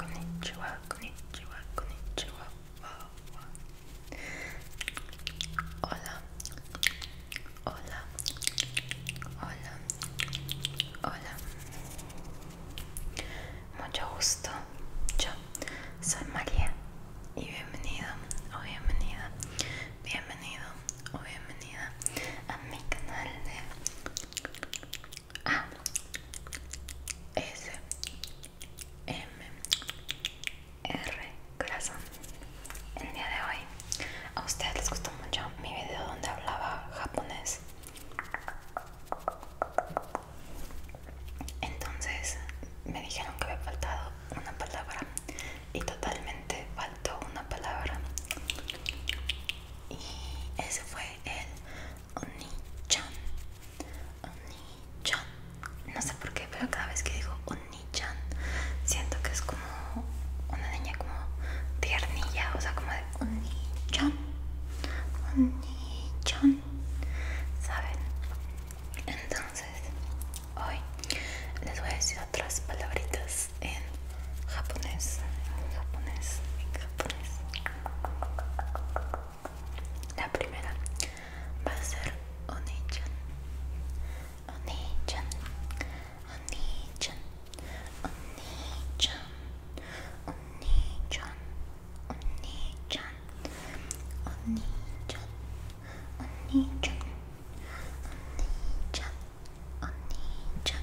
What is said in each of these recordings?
Konnichiwa, Hola, hola, hola, hola. Mucho gusto. Yo soy María y bienvenido o bienvenida, bienvenido o bienvenida a mi canal de a S M R Corazón El día de hoy a ustedes les gustó mucho mi video donde hablaba japonés Entonces me dijeron que había faltado una palabra y totalmente faltó una palabra y ese fue el Oni-chan. No sé por qué, pero cada vez que digo oni siento que es como una niña como tiernilla, o sea, como de Oni-chan. ¿Saben? Entonces, hoy les voy a decir otras palabritas en japonés, en japonés, en japonés. La primera va a ser un nicho, Oni-chan, un nicho, Oni-chan, un nicho, un nicho, un nicho, un nicho, chan Oni-chan,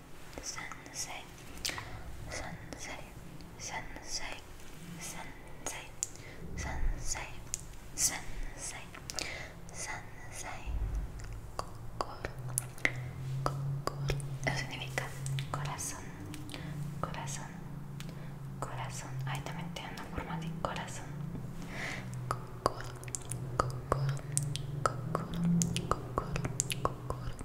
sensei, sensei, sensei, sensei, sensei, sensei, significa corazón, corazón, corazón, ahí también tiene una forma de corazón,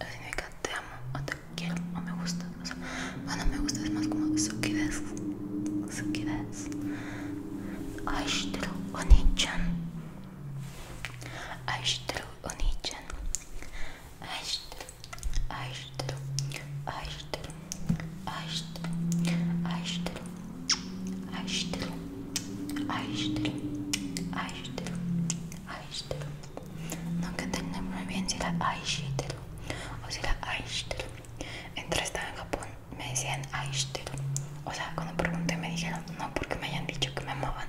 Eso significa te amo o te quiero o me gusta. O sea, bueno, me gusta es más como eso, sukides. Sukides. Aishiteru oni-chan. Aishiteru onii chan Aishiteru. Aishiteru. Aishiteru. Aishiteru. Aishiteru. Aishiteru. Aishiteru. Aishiteru. Aishiteru nunca entendí muy bien si era Aishiteru o si era Aishiteru. estaba en Japón, me decían Aishiteru. O sea, cuando pregunté me dijeron no porque me hayan dicho que me amaban.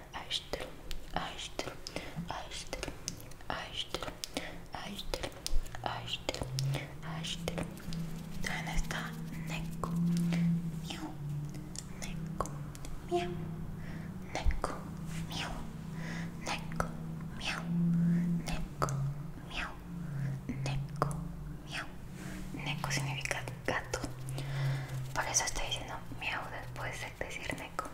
Ashton, Ashton, Ashton, Ashton, Ashton, Ashton, Ashton. También está Neko, miau, Neko, miau, Neko, miau, Neko, miau, Neko, miau, Neko, miau. Neko significa gato. Por eso estoy diciendo miau después de decir Neko.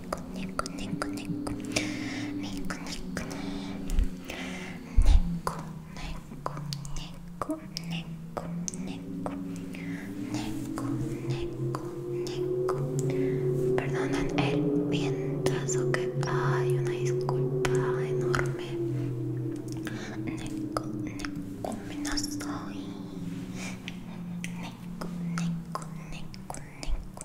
neko, neko, neko, neko, neko, neko, neko, neko, neko, neko, neko, el Nico, que hay, una disculpa enorme. Neko, neko, Neko, neko, neko, neko,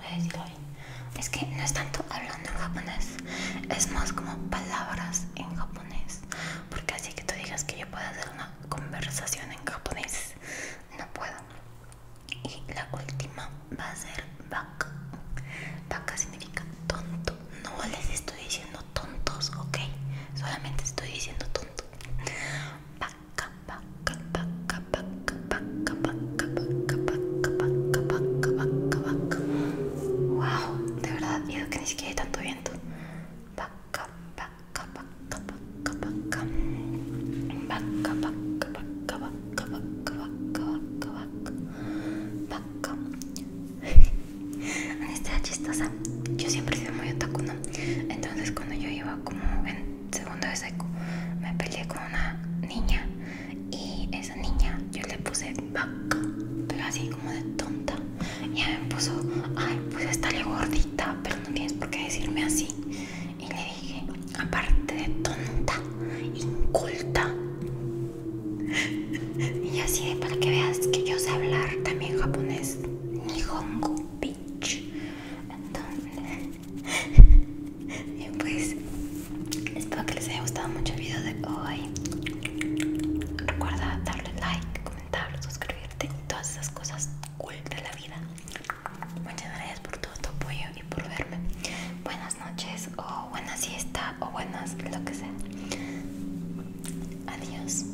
decir hoy, Es que no es tanto hablando en japonés, es más como palabras en japonés. Porque así que tú digas que yo puedo hacer una conversación en japonés, no puedo. Y la última va a ser baka. Baka significa tonto. No les estoy diciendo tontos, ok. Solamente estoy diciendo tonto. Wow, de verdad, que ni siquiera hay tanto viento. Esta chistosa. Yo siempre he muy no? Entonces cuando yo iba como segundo vez me peleé con una niña y esa niña yo le puse vaca, pero así como de tonta. Y ella me puso, ay, pues le gordita, pero no tienes por qué decirme así. Y le dije, aparte de tonta, inculta. y así para que veas que yo sé hablar también japonés, nihongo, bitch. Entonces, y pues espero que les haya gustado mucho el video de hoy recuerda darle like comentar suscribirte todas esas cosas cool de la vida muchas gracias por todo tu apoyo y por verme buenas noches o buenas siesta o buenas lo que sea adiós